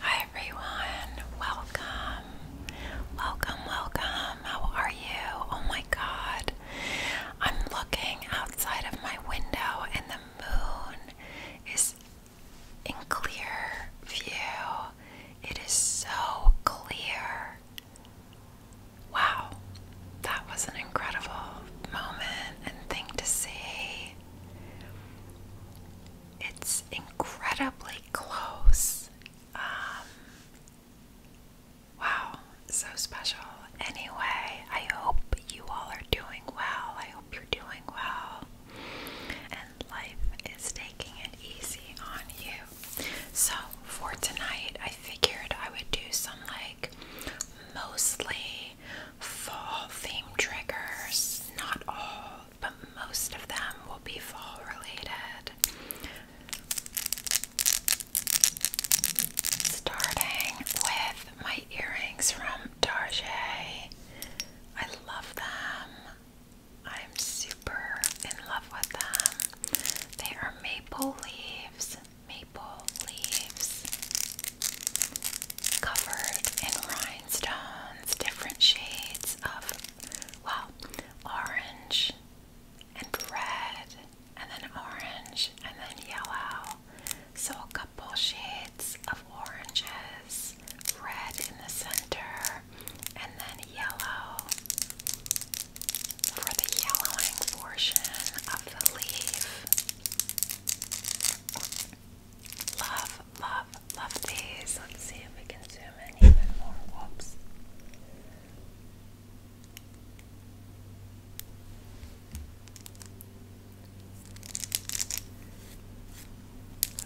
Hi everyone, welcome, welcome, welcome. How are you? Oh my god, I'm looking outside of my window and the moon is in clear view. It is so clear. Wow, that was an incredible moment and thing to see it's incredibly close. Um, wow, so special. Anyway, I hope you all are doing well. I hope you're doing well. And life is taking it easy on you. So, for tonight, I figured I would do some like mostly fall theme triggers. Not all but most of them will be fall related. Starting with my earrings from Tarjay. I love them. I'm super in love with them. They are maple leaves, maple leaves covered in rhinestones different shades of, well, orange and red, and then orange and then yellow. So, a couple shades of oranges, red in the center, and then yellow for the yellowing portion of the leaf. Love love, love, these. Let's see if we can zoom in even more. Whoops.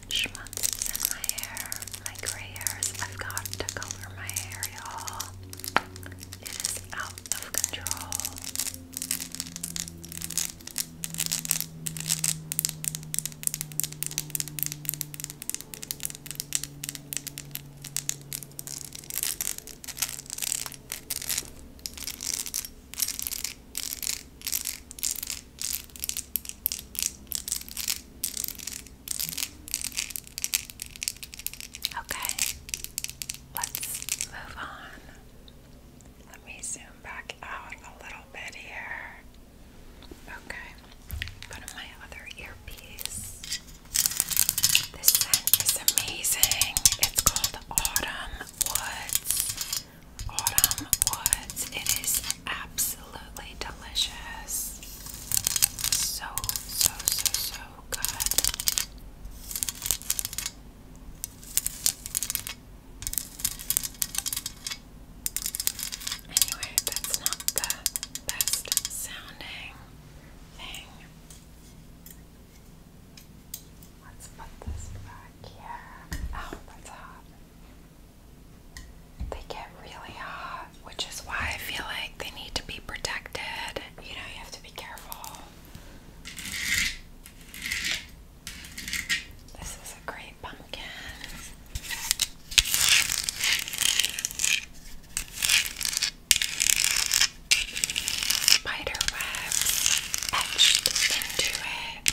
Schmutz in my hair, my gray hairs. I've got to color my hair, y'all. It is out of control. Okay, let's move on. Let me zoom back out a little bit here. Okay, put on my other earpiece. This scent is amazing. It's called Autumn Woods. Autumn Woods. It is absolutely delicious. So, so, so, so good. Anyway, that's not the best sounding thing. Let's put this back here. Oh, that's hot. They get really hot, which is why I feel like they need to be protected. You know, you have to be careful. This is a great pumpkin. Spider etched into it.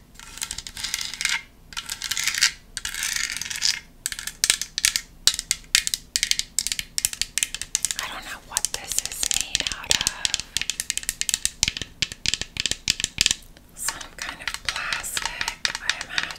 I don't know what this is made out of. Some kind of plastic, I imagine.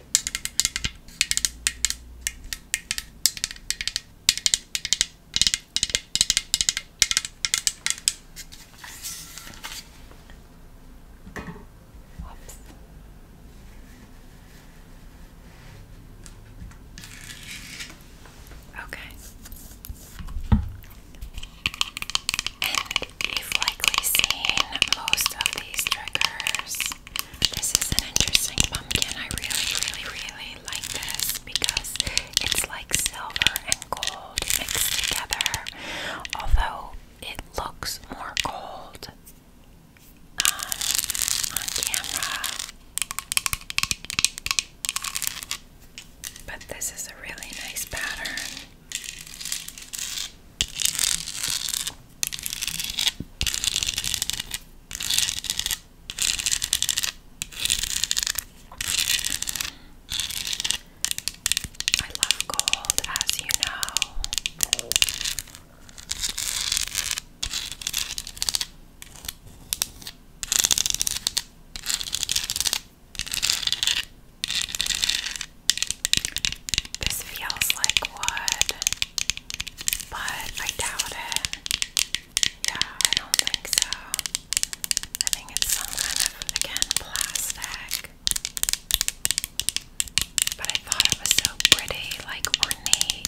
Oops. Okay. And you likely seen most of these triggers this. is an interesting pumpkin. I really, really, really like this because it's like silver and gold mixed together. Although it looks more gold uh, on camera. But this is a really nice pattern. I love gold, as you know. This feels like wood but I doubt it. Yeah, I don't think so. I think it's some kind of, again, plastic. But I thought it was so pretty, like ornate.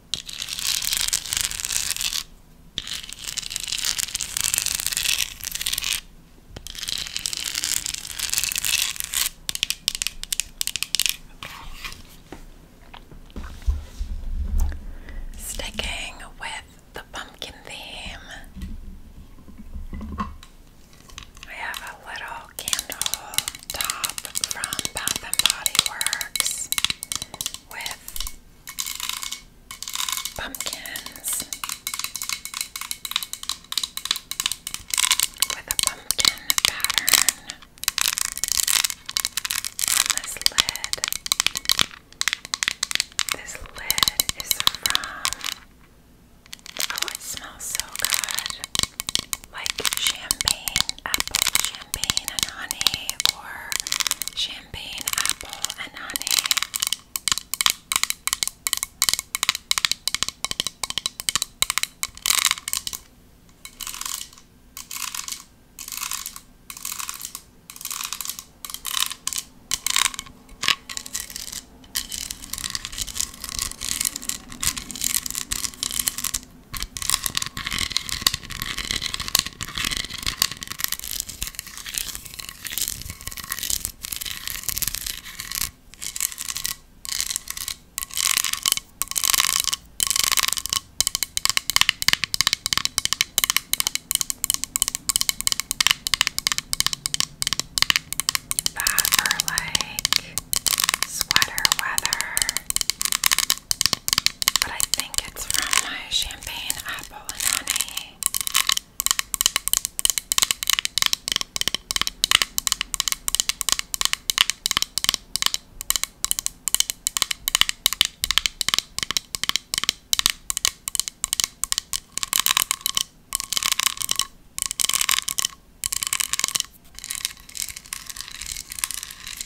Sticking with the pumpkin theme, I have a little candle top from Bath and Body Works with pumpkins with a pumpkin pattern on this lid. This lid is from Oh, it smells so good. Like champagne, apple champagne and honey or champagne apple and honey. Bad for like sweater weather but I think it's from my champagne apple and honey.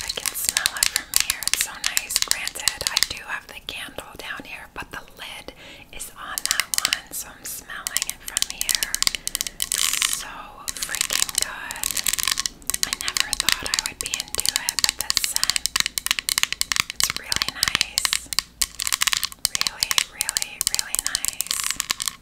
I can smell it from here. It's so nice. Granted, I do have the candle down here, but the lid is on that one, so I'm smelling it from here. So freaking good. I never thought I would be into it, but the scent, it's really nice. Really, really, really nice.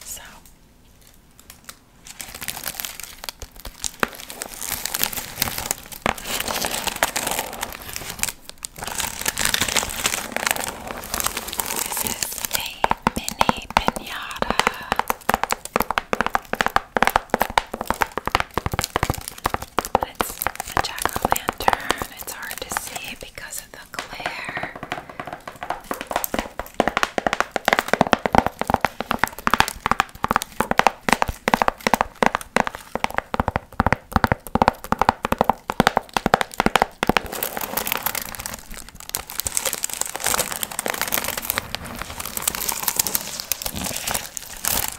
So this is a mini pinata. But it's a jack-o'-lantern. It's hard to see because of the glare.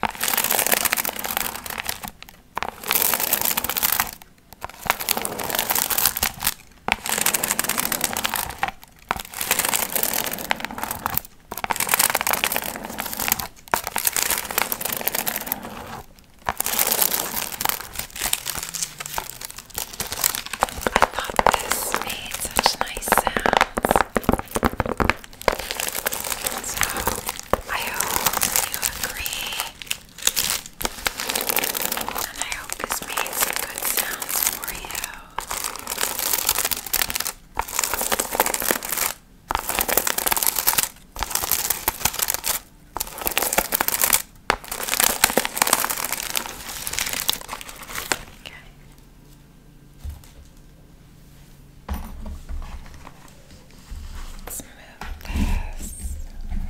I thought this made such nice sounds. So I hope you agree. And I hope this made some good sounds for you. Okay.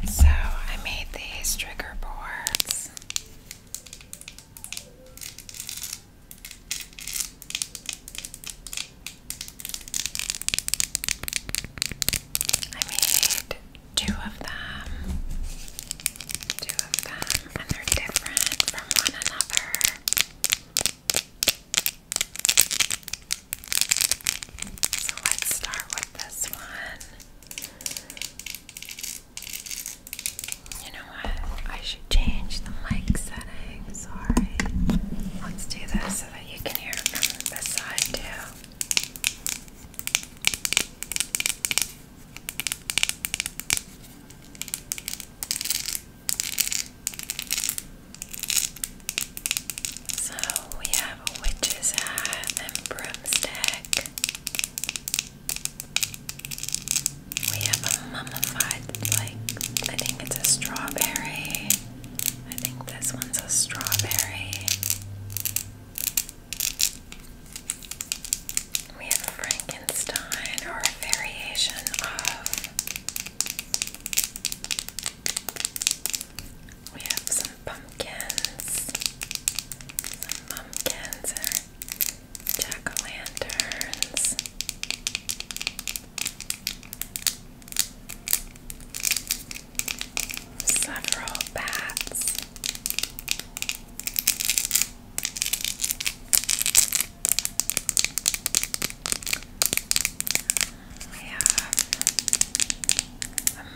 So I made these trigger boards. I made two of them. Two of them, and they're different from one another. So let's start with this one. You know what? I should change the mic setting. Sorry. Let's do this so that you can hear it from this side too. So we have a witch's hat and broomstick. We have a mummified, like, I think it's a strawberry. I think this one's a strawberry. We have Frankenstein or a variation of. We have some pumpkins. Some pumpkins jack o' lanterns. Several bats. We have the moon.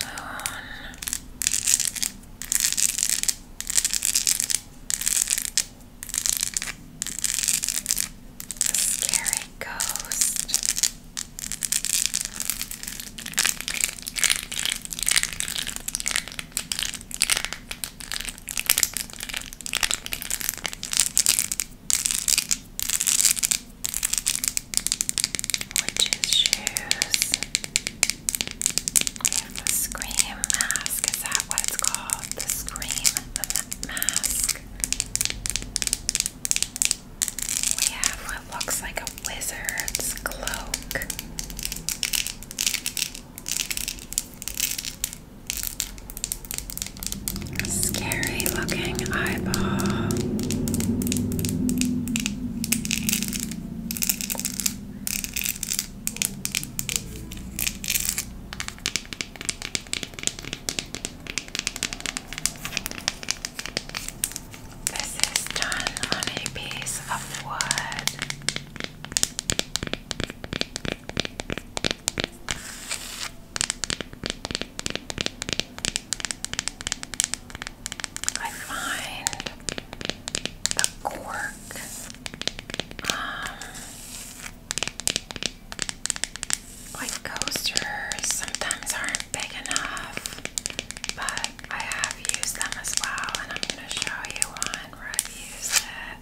The scary ghost. Witches' shoes. We have the scream mask. Is that what it's called? The scream mask. We have what looks like a wizard's cloak. Scary looking eyeball. This is done on a piece of wood. I find the cork um, like coasters sometimes aren't big enough, but I have used them as well, and I'm going to show you one where I've used it.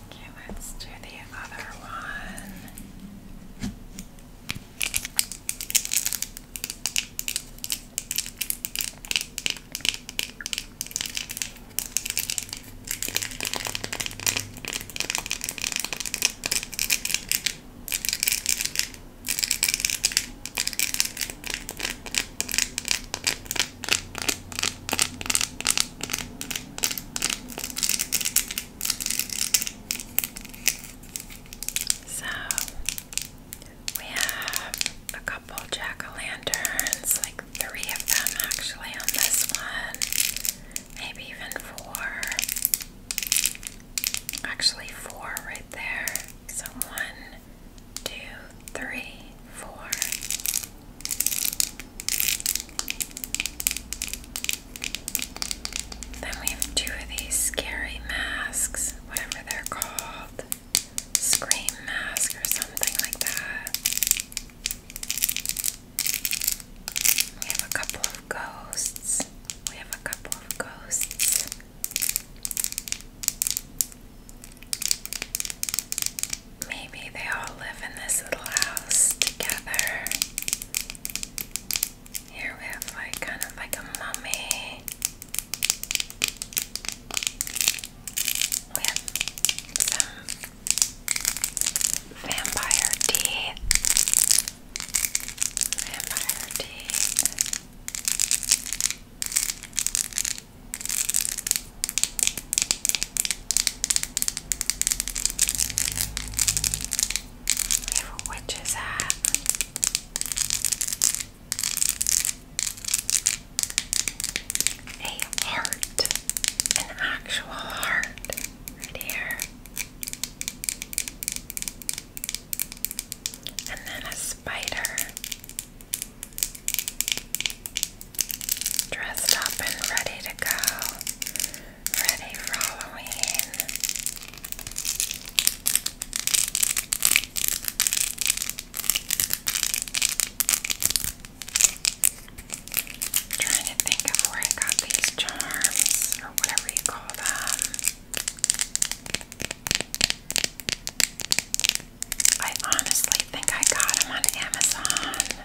Okay, let's do the other one. So we have a couple jack o' lanterns, like three of them actually on this one, maybe even four. Actually, four right there. So one, two, three, four. Then we have two of these scary masks, whatever they're called. Scream mask or something like that. We have a couple of ghosts. We have a couple of ghosts. Maybe they all live in this little house together. Here we have like kind of like a mummy. We have some vampire teeth. Vampire teeth. Which is that? A heart, an actual heart, right here, and then a spider. Dressed up and ready to go, ready for Halloween. trying to think of where I got these charms or whatever you call them. I honestly think I got them on Amazon.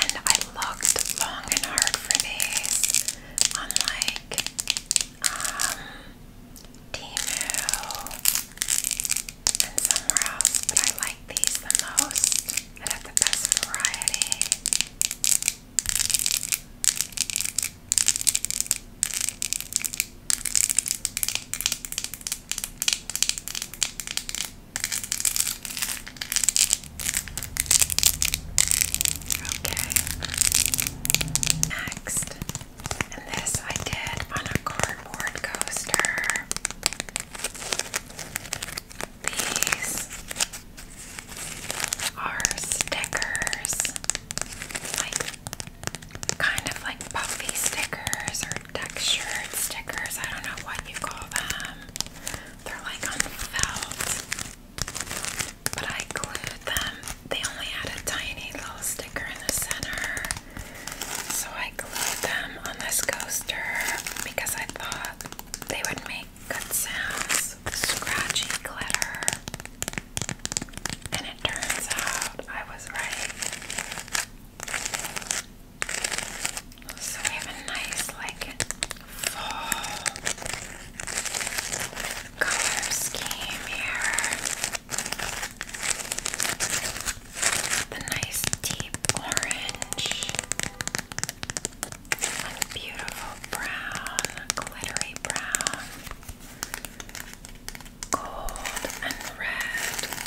And I looked long and hard for these on like um Temu and somewhere else, but I like these the most. It have the best variety. Okay. Next. And this I did on a cardboard coaster. These are stickers. kind of like puffy stickers or textured stickers. I don't know what you call them. They're like on felt. But I glued them. They only had a tiny little sticker in the center. So I glued them on this coaster because I thought they would make good sounds. Scratchy glitter. And it turns out I was right. So we have a nice like fall color scheme here. The nice deep orange. A beautiful brown, glittery brown, gold and red.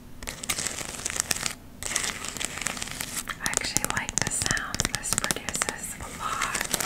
I actually like the sound this produces a lot.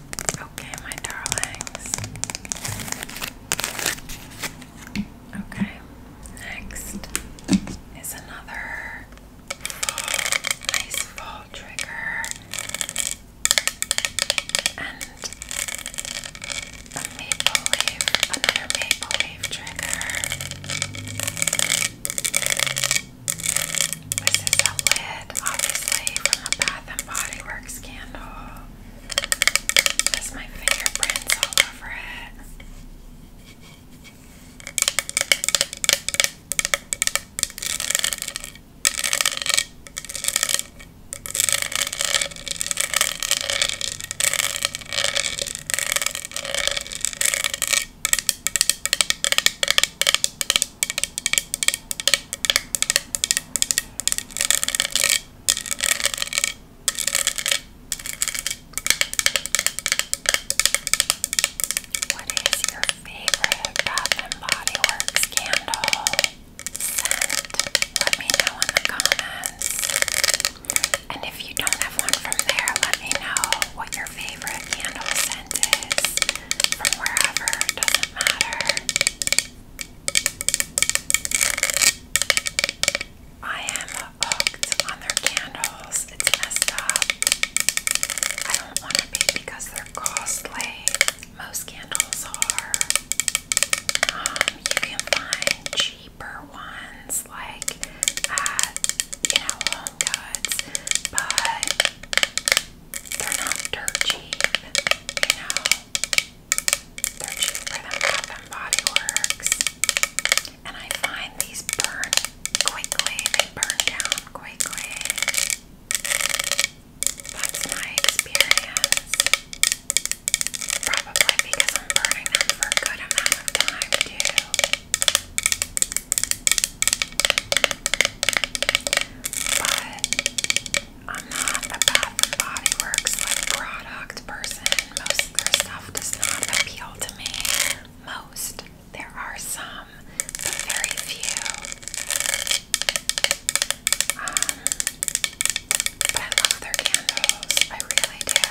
Okay, my darlings. Okay, next is another nice fall trigger and a maple leaf, another maple leaf trigger. This is a lid, obviously, from a Bath and Body Works candle. Has my fingerprints all over it. What is your favorite Bath and Body Works candle scent? Let me know in the comments. And if you don't have one from there, let me know what your favorite candle scent is from wherever, doesn't matter. I am hooked on their candles. It's messed up. I don't want to be because they're costly. Most candles are. Um, you can find cheaper ones like at, you know, Home Goods, but they're not dirt cheap, you know. They're cheap for them, Bath and I find these burn quickly. They burn down quickly. That's my experience. Probably because I'm burning them for a good amount of time too. But I'm not a Bath product person. Most of their stuff does not appeal to me. Most. There are some, but very few. Um, but I love their candles. I really do.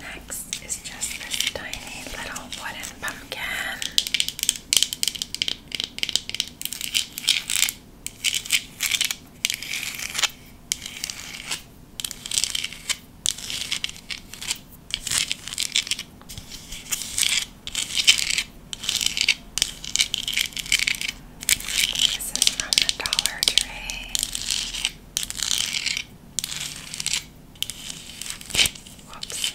Next is just this tiny little wooden pumpkin. This is from the Dollar Tree. Whoops.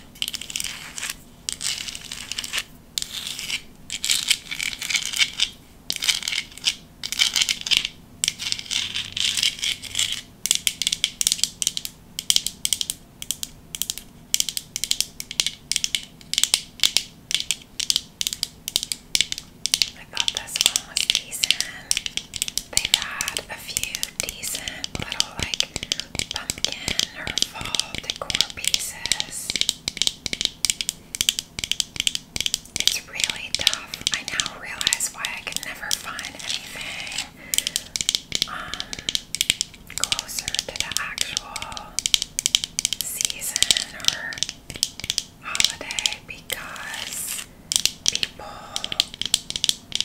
I thought this one was decent. They've had a few decent little like pumpkin or fall decor pieces. It's really tough. I now realize why I can never find anything um, closer to the actual season or holiday because people,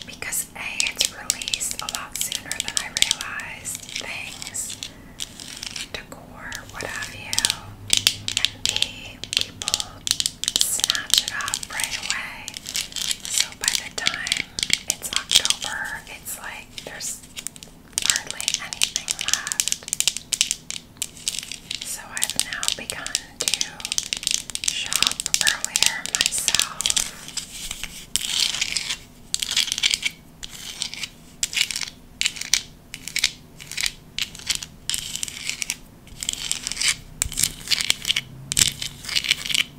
because A, it's released a lot sooner than I realized things, decor, what have you, and B, people snatch it up right away. So by the time it's October. It's like there's hardly anything left. So I've now begun to shop earlier myself.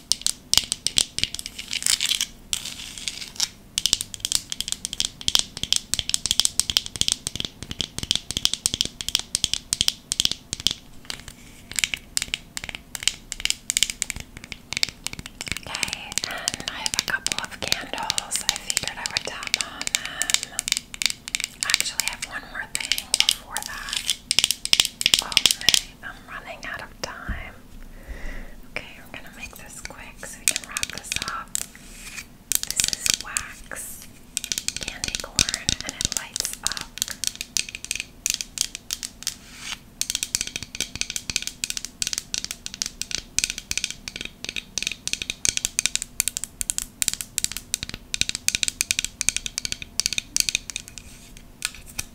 Okay, and I have a couple of candles. I figured I would tap on them. Actually, I have one more thing before that. Oh, right. I'm running out of time. Okay, we're gonna make this quick so we can wrap this up. This is wax candy corn and it lights up.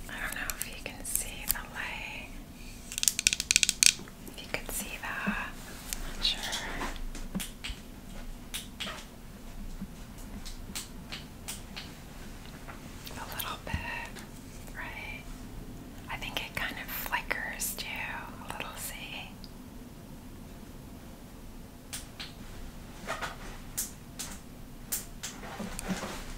I don't know if you can see the light. If you could see that, sure. A little bit, right? I think it kind of flickers too, a little, see?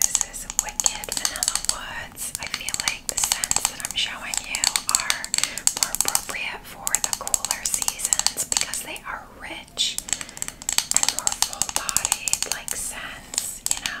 This is Wicked Vanilla Woods. I feel like the scents that I'm showing you are more appropriate for the cooler seasons because they are rich and more full bodied, like scents, you know.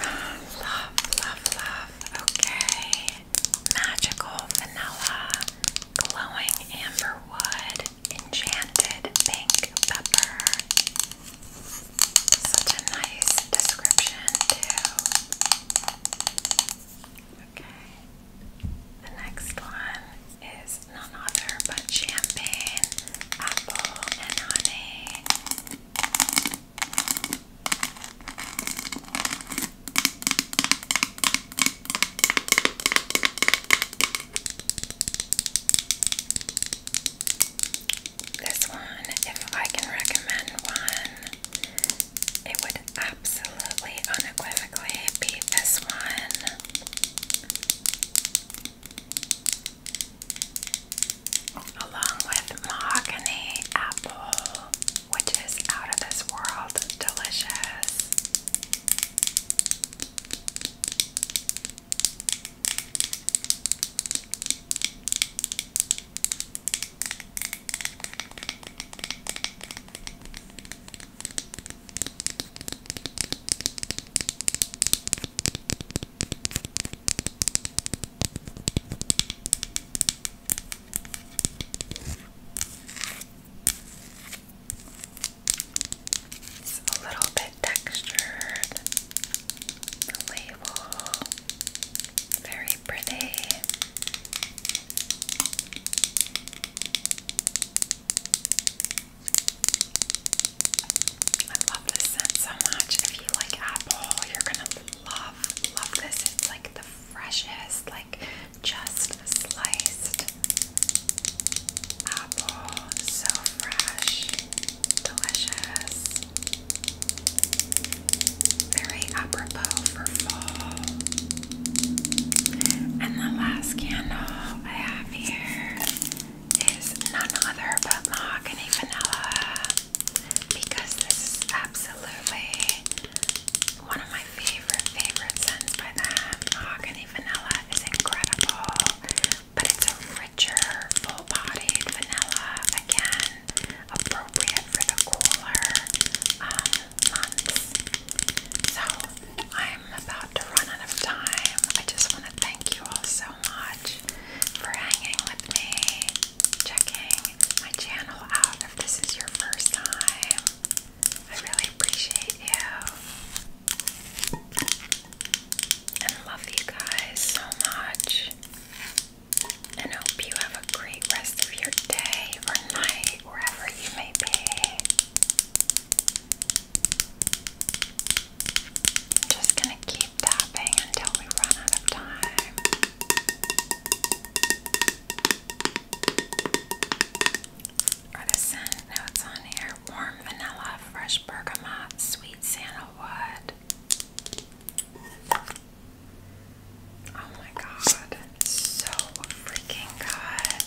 Love, love, love. Okay. Magical vanilla, glowing amber enchanted pink pepper. Such a nice description, too. Okay. The next one is none other but champagne, apple, and honey. This one, if I can recommend one, it would absolutely unequivocally be this one along with mahogany apple, which is out of this world delicious. It's a little bit textured. The label, very pretty. I love this scent so much. If you like apple, you're gonna love, love this. It's like the freshest, like just sliced apple. So fresh, delicious. Very apropos for fall. And the last candle I have here is none other but mahogany vanilla because this is absolutely one of my favorite, favorite scents by them. Mahogany vanilla is incredible, but it's a richer, full bodied vanilla, again, appropriate for the cooler um, months. So, I I'm about to run out of time. I just want to thank you all so much for hanging with me, checking my channel out if this is your first time. I really appreciate you. And love you guys so much. And hope you have a great rest of your day or night, wherever you may be. I'm just gonna keep tapping until we run out of time. Or the scent notes on here warm vanilla, fresh bergamot, sweet sandalwood. Oh my god, so freaking good.